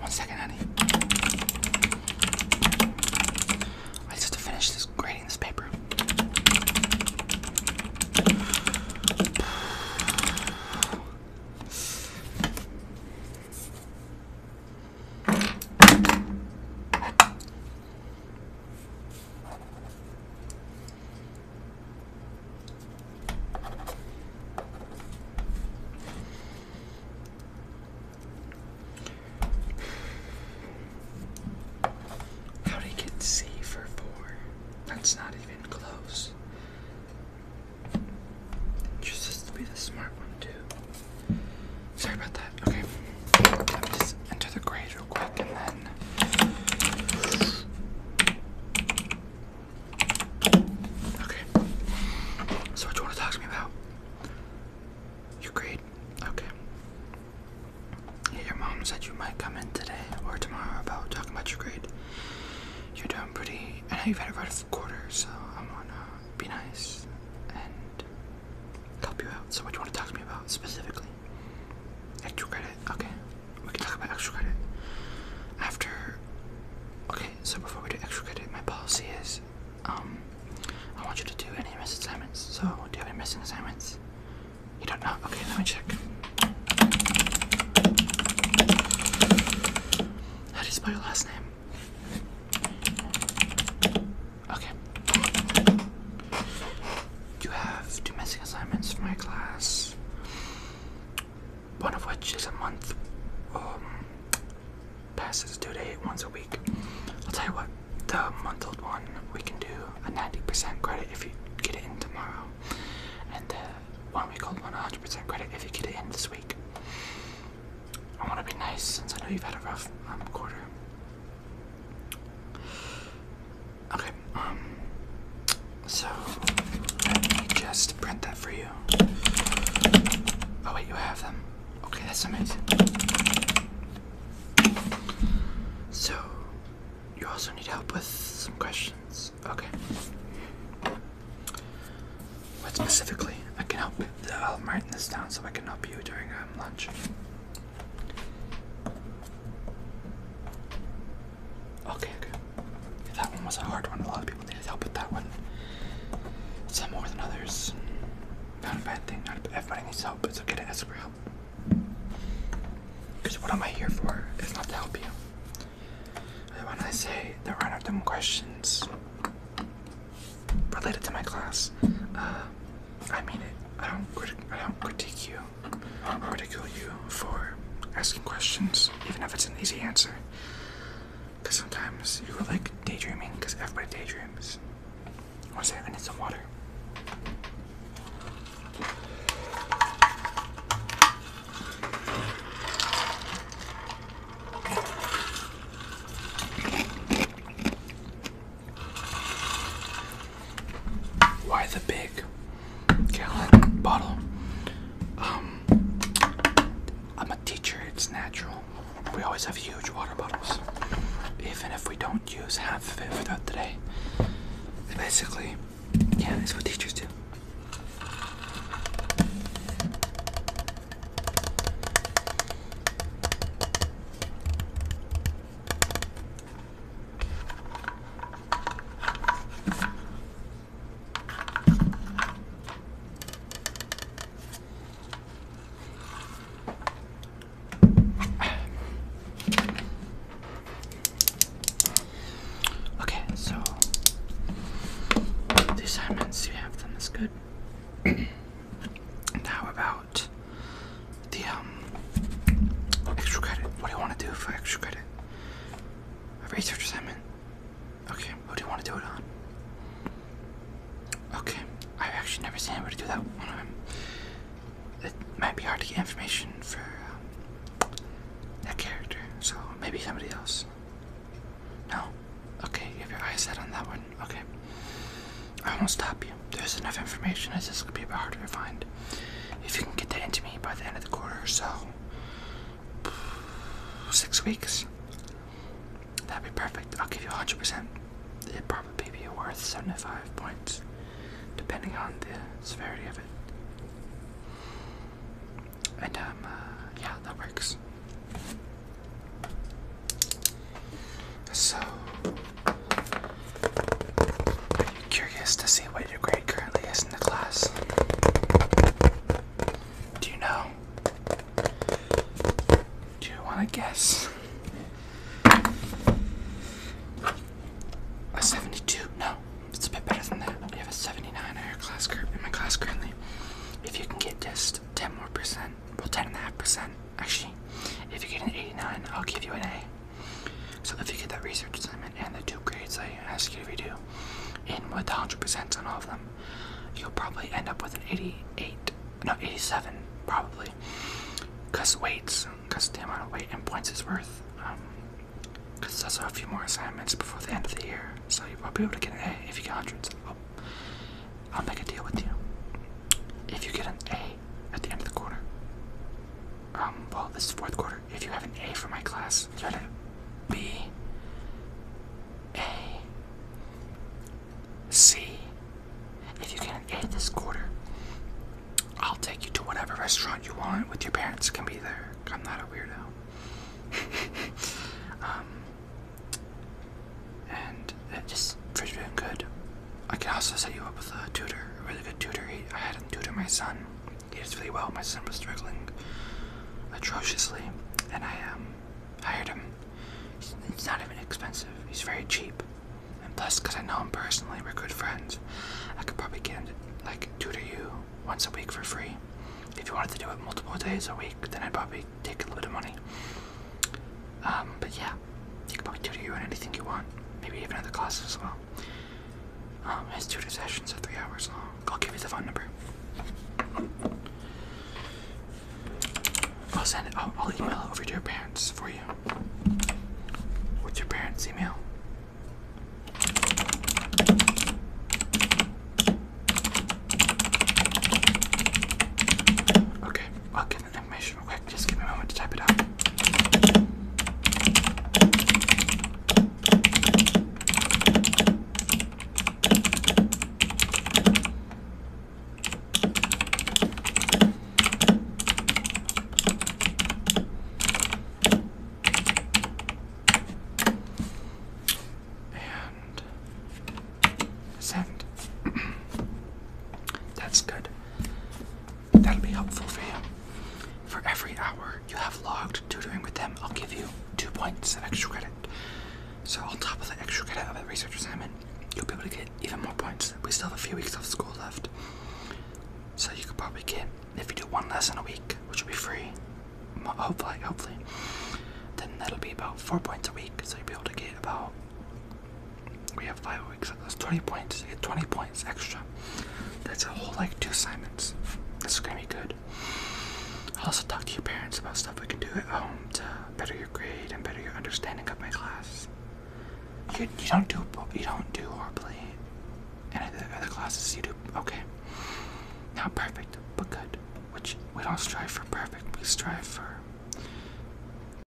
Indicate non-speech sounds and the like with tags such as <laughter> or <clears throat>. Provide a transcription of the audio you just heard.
One second, honey. I just have to finish this grading this paper. How did he get C for four? That's not even close. Chooses to be the smart one too. Sorry about that. Okay, let me just enter the grade real quick and then. Okay. So what do you want to talk to me about? Your grade? Okay. your mom said you might come in today or tomorrow about talking about your grade. You're doing pretty. I you've had a rough quarter, so I want to be nice and help you out. So what you want to talk to me about specifically? Extra credit? Okay we can talk about extra credit after. Okay, so before we do extra credit, my policy is, um, I want you to do any missing assignments. So, do you have any missing assignments? You don't know? Okay, let me check. How do you spell your last name? Okay. You have two missing assignments for my class one of which is a month um, passes due date once a week. I'll tell you what, the month old one we can do a 90% credit if you get it in tomorrow, and the one week old one 100% credit if you get it in this week. I want to be nice since I know you've had a rough um, quarter. Okay, um, so let me just print that for you. Oh, wait, you have them. Okay, that's amazing. So, you also need help with some questions. Okay. What specifically? I can help. I'll write this down so I can help you during um, lunch. Okay, okay. Yeah, that one was a hard one. A lot of people needed help with that one. Some more than others. Not a bad thing. Not everybody needs help. It's okay to ask for help. Because what am I here for? It's not to help you. when I say there are random questions related to my class, uh, I mean it. I don't, I don't critique you. I'm ridicule you for asking questions, even if it's an easy answer. Because sometimes you are like daydreaming, because everybody daydreams. One second, I need some water. Why the big gallon bottle? Um, I'm a teacher, it's natural. We always have huge water bottles, even if we don't use half of it throughout the day. Basically, yeah, that's what teachers do. Okay, so the assignments, you have them, is good. <clears throat> now about the um extra credit. What do you want to do for extra credit? A research assignment. Okay, Who do you want to do it on? Okay, I've actually never seen anybody do that one of It might be hard to get information for um, that character, so maybe somebody else. No? Okay, you have your eyes set on that one. Okay. I won't stop you. There's enough information, as this could be a bit harder to find if you can get that into me by the end of the quarter so, six weeks, that'd be perfect. I'll give you a 100%. It'd probably be worth 75 points, depending on the severity of it. And, um, uh, yeah, that works. So, Curious to see what your grade currently is in the class. Do you know? Do you want to guess? A 72? No, it's a bit better than that. We have a 79 in your class group in my class currently. If you can get just 10 more percent, well, 10 and a half percent, actually, if you get an 89, I'll give you an A. So if you get that research assignment and the two grades I ask you to redo, in with 100% on all of them, you'll probably end up with an 88, no 87 probably, because weights, because the amount of weight and points is worth. Because um, there's also a few more assignments before the end of the year, so you'll probably be able to get an A if you get hundreds. I'll, oh, I'll make a deal with you. If you get an A at the end of the quarter, um, well, this is fourth quarter. If you have an A for my class, you're gonna B to B, A, C. If you get an A this quarter, I'll take you to whatever restaurant you want with your parents. Can be there. I'm not a weirdo. <laughs> um, and uh, just for doing good. I can also set you up with a tutor, a really good tutor. I had a tutor my son. He did really well. My son was struggling atrociously, and I um, hired him. It's not even expensive. He's very cheap, and plus, because I know him personally, we're good friends. I could probably like tutor you once a week for free. If you wanted to do it multiple days a week, then I'd probably take a little bit of money. Um, but yeah, he could probably tutor you in anything you want, maybe even other classes as well. Um, his tutor sessions are three hours long. I'll give you the phone number. I'll send it. I'll, email it over to your parents for you. What's your parents' email? Okay, i the real quick. Just give me a moment to type it out. And send. <clears throat> That's good. That'll be helpful for you. For every hour you have logged tutoring with them, I'll give you two points of extra credit. So on top of the extra credit of the research assignment, you'll be able to get even more points. We still have a few weeks of school left. So you could probably get, if you do one lesson a week, which will be free, hopefully, hopefully, then that'll be about four points a week. So you'll be able to get about we have five weeks. That's 20 points. 20 points extra. That's a whole like two assignments. This is gonna be good. also talk to your parents about stuff we can do at home to better your grade and better your understanding of my class. You, you don't do you don't do horribly. Any of the other classes you do okay. Not perfect, but good. Which we don't strive for perfect. We strive for